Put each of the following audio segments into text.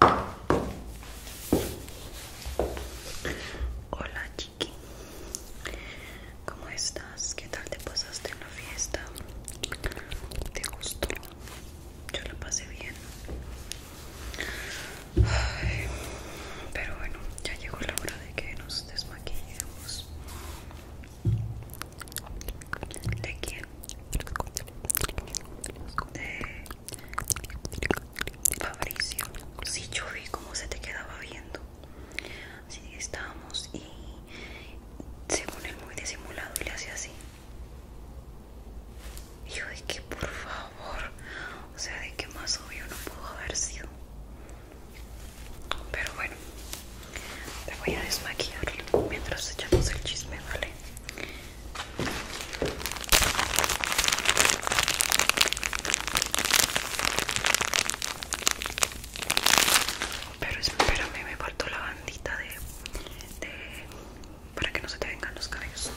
Hola chiqui, ¿cómo estás? ¿Qué tal te pasaste en la fiesta? ¿Te gustó? Yo la pasé bien. pero bueno, ya llegó la hora de que nos desmaquillemos. ¿De quién? De Fabricio, si yo vi cómo se te quedaba viendo. Así que estábamos y según él muy disimulado y le hacía así. Y yo de que por favor, o sea, de que más obvio no pudo haber sido. Pero bueno, te voy a desmaquillar mientras echamos el chisme, ¿vale? Pero espérame, me parto la bandita de, de para que no se te vengan los cabellos.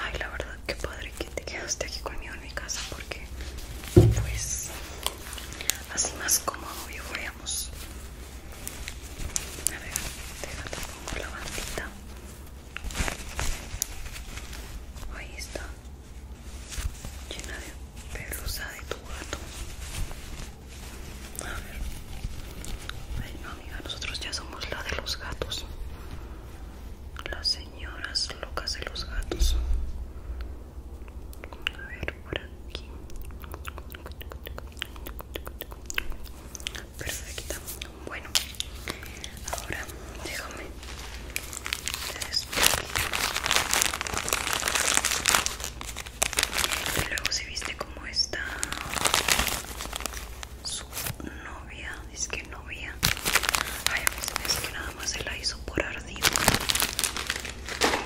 Ay, la verdad que padre que te quedaste aquí conmigo en mi casa porque pues así más cómodo yo veamos. A ver, déjate pongo la bandita. Ahí está, llena de pelusa de tu gato. A ver, Ay, no, amiga, nosotros ya somos la de los gatos, las señoras locas de los gatos. A ver, por aquí perfecto bueno ahora déjame y luego si viste como está su novia es que novia ay a que nada más se la hizo por ardido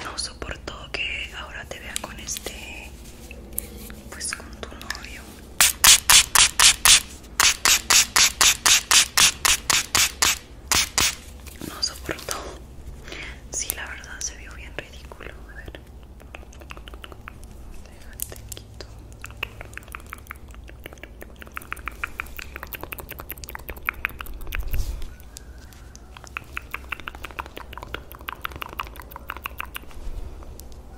no soportó que ahora te vea con este pues con tu novio no soportó. Sí, la verdad se vio bien ridículo. A ver.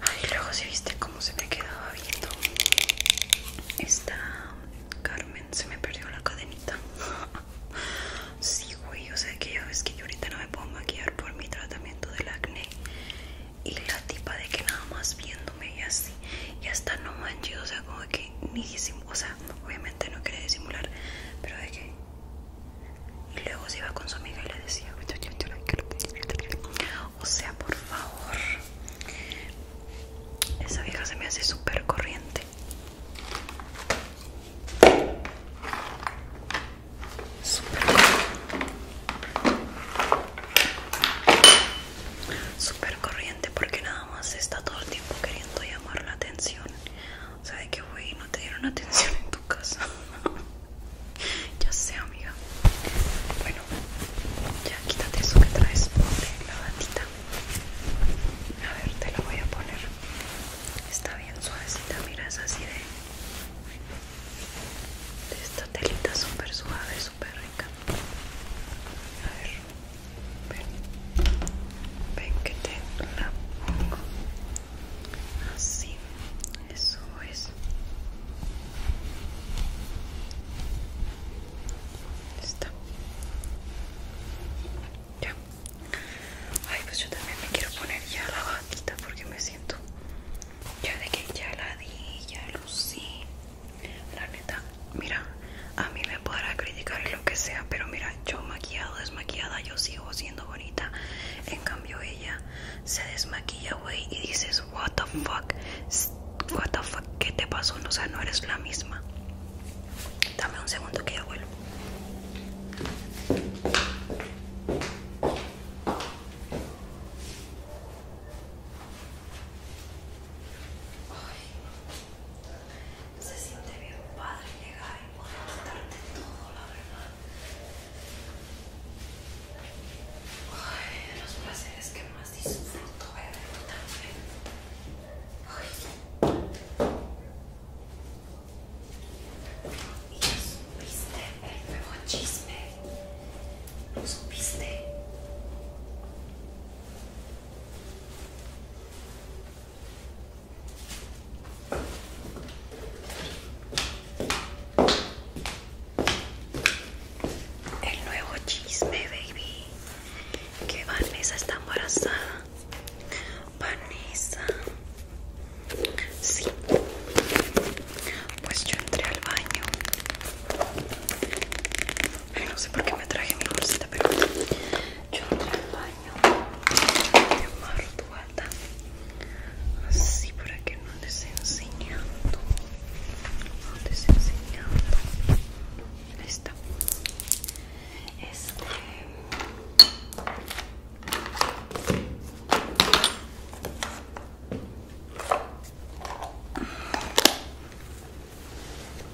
Ay, luego si viste cómo se me quedaba viendo esta Carmen, se me perdió la cadenita. Sí, güey, o sea que ya ves que yo ahorita no me puedo maquillar por mi tratamiento del acné. Y la tipa de que nada más viéndome y así, ya está no manches, o sea, como que ni o sea, obviamente no quería disimular, pero de que. Y luego se iba con su amiga y le decía, o sea, por favor, esa vieja se me hace súper corriente. Super, corriente porque nada nada más está todo el tiempo queriendo llamar la atención. O sea, de que, güey, no te dieron atención en tu casa. ya sé, amiga. Bueno, ya quítate eso que traes. Ponte la batita. A ver, te la voy a poner. Está bien suavecita, mira, es así de... de esta telita súper suave, súper rica. A ver. Ven, que te la pongo. Así, eso es. Está. Ya. Ay, pues yo también me quiero poner ya la batita porque me siento ya de que ya la di, ya lucí. La neta, mira, a mí me podrá criticar lo que sea, pero mira, yo maquillada, desmaquillada, yo sigo siendo bonita. En cambio, ella se desmaquilla, güey, y dices, what the fuck, what the fuck, ¿qué te pasó? O sea, no eres la misma. Dame un segundo que ya vuelvo. Se siente bien padre llegar y poder quitarte todo, la verdad. Ay, de los placeres que más disfruto, bebé, tú Ay. Y ya supiste el nuevo chisme. ¿Lo supiste? El nuevo chisme, baby. Que Vanessa está embarazada. Vanessa. Sí. Pues yo entré al baño no sé por qué me traje mi bolsita, pero yo entré el baño y amarro tu así para que no enseñe enseñando. No les enseñando. Ahí está. Este.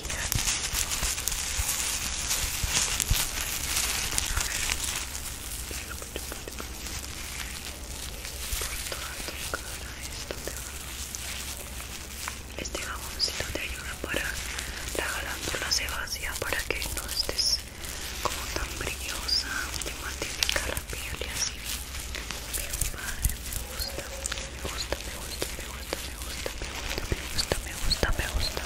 Por toda te Este jaboncito te ayuda para la se sebácea para que no estés como tan brillosa, y matifica la piel y así. padre, me gusta, me gusta, me gusta, me gusta, me gusta, me gusta, me gusta, me gusta, me gusta.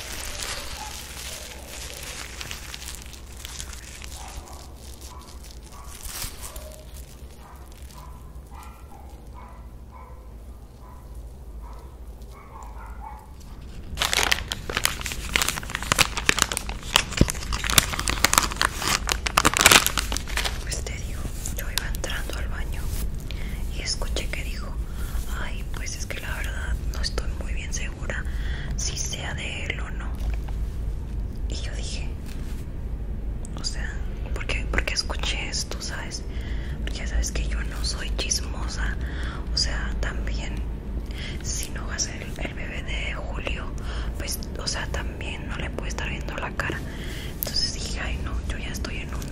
Pues te yo iba entrando al baño y escuché que dijo Ay, pues es que la verdad no estoy muy bien segura si sea de él o no. Y yo dije, o sea, porque porque escuché esto, ¿sabes? Porque ya sabes que yo no soy chismosa. O sea, también si no va a ser el, bebé de Julio, pues o sea, también no le puedo estar viendo la cara. Entonces dije, ay no, yo ya estoy en un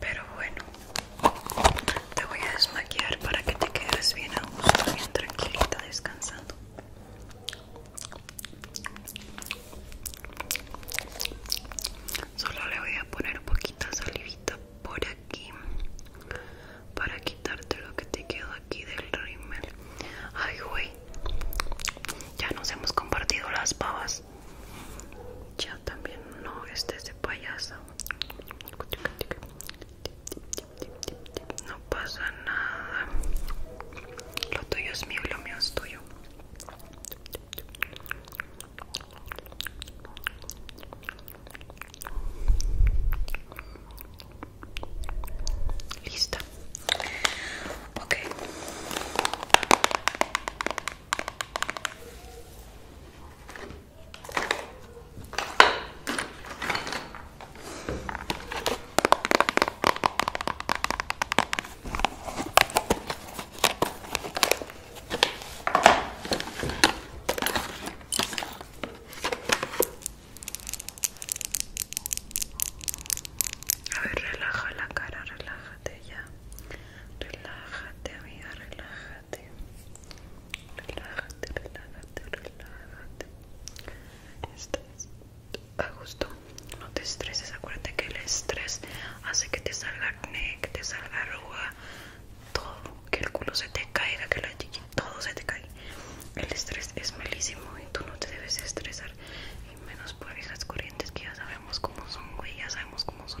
Pero bueno, te voy a desmaquillar para que te quedes bien a gusto, bien tranquilita, descansando. Solo le voy a poner un poquito de salivita por aquí aquí para quitarte lo que te quedó aquí del rímel. Ay, güey. Ya nos hemos compartido las babas. Ya también no estés de payaso. No pasa nada. Lo tuyo es mío y lo mío es tuyo. Lista. Ok. A ver, relaja la cara, relájate ya. Relájate, amiga, relájate. Relájate, relájate, relájate. Estás a gusto. No te estreses, acuérdate que el estrés hace que te salga acné, que te salga arruga, todo, que el culo se te caiga, que la chichi, todo se te caiga El estrés es malísimo y tú no te debes estresar, y menos por esas corrientes que ya sabemos cómo son, güey, ya sabemos cómo son.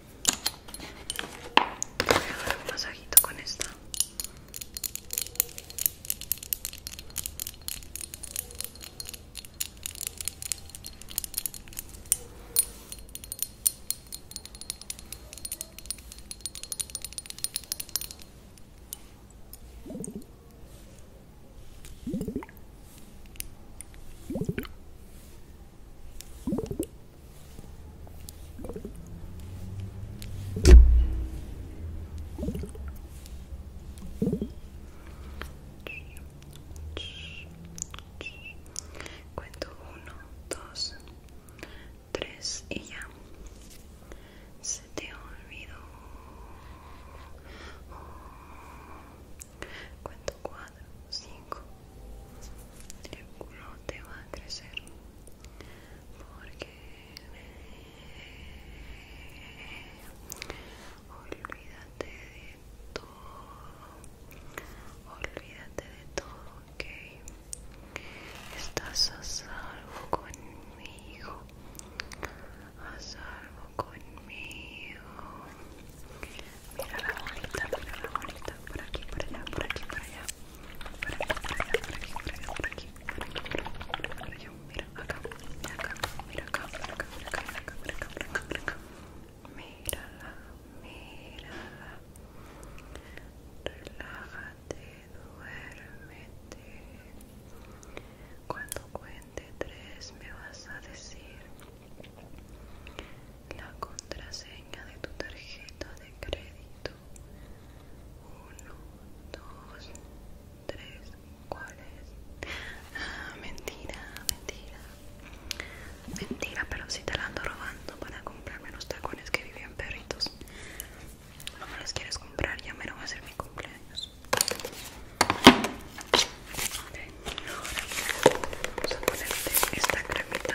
Voy a dar un masajito con esta. Cuento uno, dos, tres y ya. Se te olvidó. Cuento cuatro, cinco. El culo te va a crecer porque olvídate de todo olvídate de todo ok estás a salvo conmigo a salvo conmigo mira la bonita, mira la bonita, por aquí por allá por aquí por allá aquí, aquí, aquí, Mira acá, mira acá, mira acá, mira acá, mira Mírala, mírala. Relájate, duérmete. Cuando cuente tres me vas a decir la contraseña de tu tarjeta de crédito 1 2 3 cuál es ah, mentira mentira mentira pero si te la ando robando para comprarme los tacones que vivían perritos no me los quieres comprar ya me lo va a hacer mi cumpleaños ok, ahora vamos a ponerte esta cremita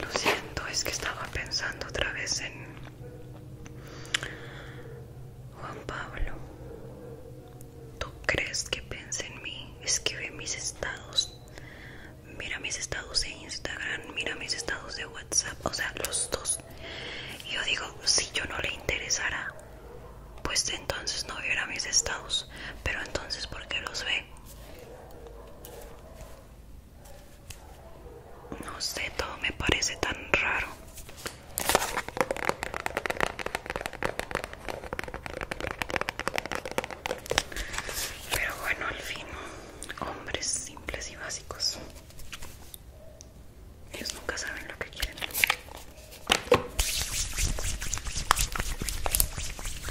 Lo siento, es que estaba pensando otra vez en Juan Pablo. ¿Tú crees que piensa en mí? Es que ve mis estados. Mira mis estados de Instagram, mira mis estados de WhatsApp, o sea, los dos. Y yo digo, si yo no le interesara, pues entonces no viera mis estados. Pero entonces, ¿por qué los ve? No sé, todo me parece tan raro. Pero bueno, al fin, hombres simples y básicos. Ellos nunca saben lo que quieren.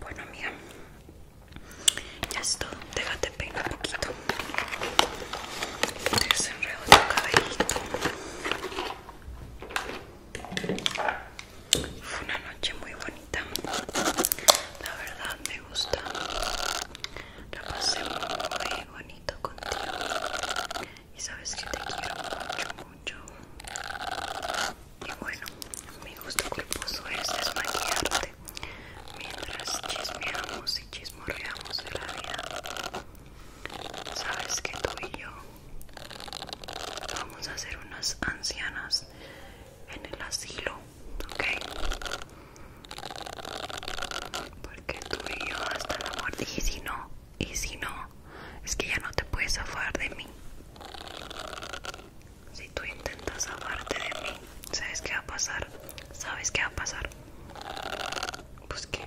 Bueno, amiga, ya es todo. Déjate peinar un poquito. Desenredo tu cabellito. Fue una noche muy bonita. La verdad me gusta. La pasé muy bonito contigo. Y sabes que te quiero mucho, mucho. Y bueno, mi gusto culposo es desmaquillarte mientras chismeamos y chismorreamos de la vida. Sabes que tú y yo Vamos a hacer unas ancianas en el asilo, ¿ok? Porque tú y yo hasta la muerte. Y si no, y si no, es que ya no te puedes zafar de mí. Si tú intentas zafarte de mí, ¿sabes qué va a pasar? ¿Sabes qué va a pasar? Pues que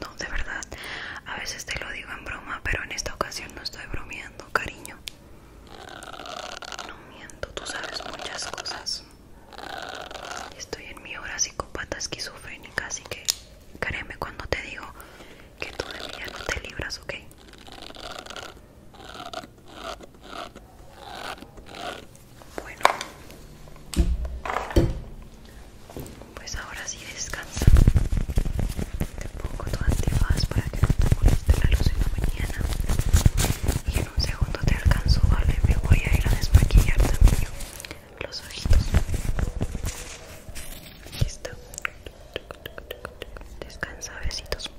no, de verdad. A veces te lo digo en broma, pero en esta ocasión no estoy bromeando, cariño. No miento, tú sabes muchas cosas. Estoy en mi hora psicópata esquizofrénica, así que créeme cuando te digo que tú de mí no te libras, ¿ok? Bueno, pues ahora sí descansa. Te pongo tu antefaz para que no te moleste la luz en la mañana. Y en un segundo te alcanzo, vale. Me voy a ir a desmaquillar también los ojitos. Aquí está. Descansa, besitos.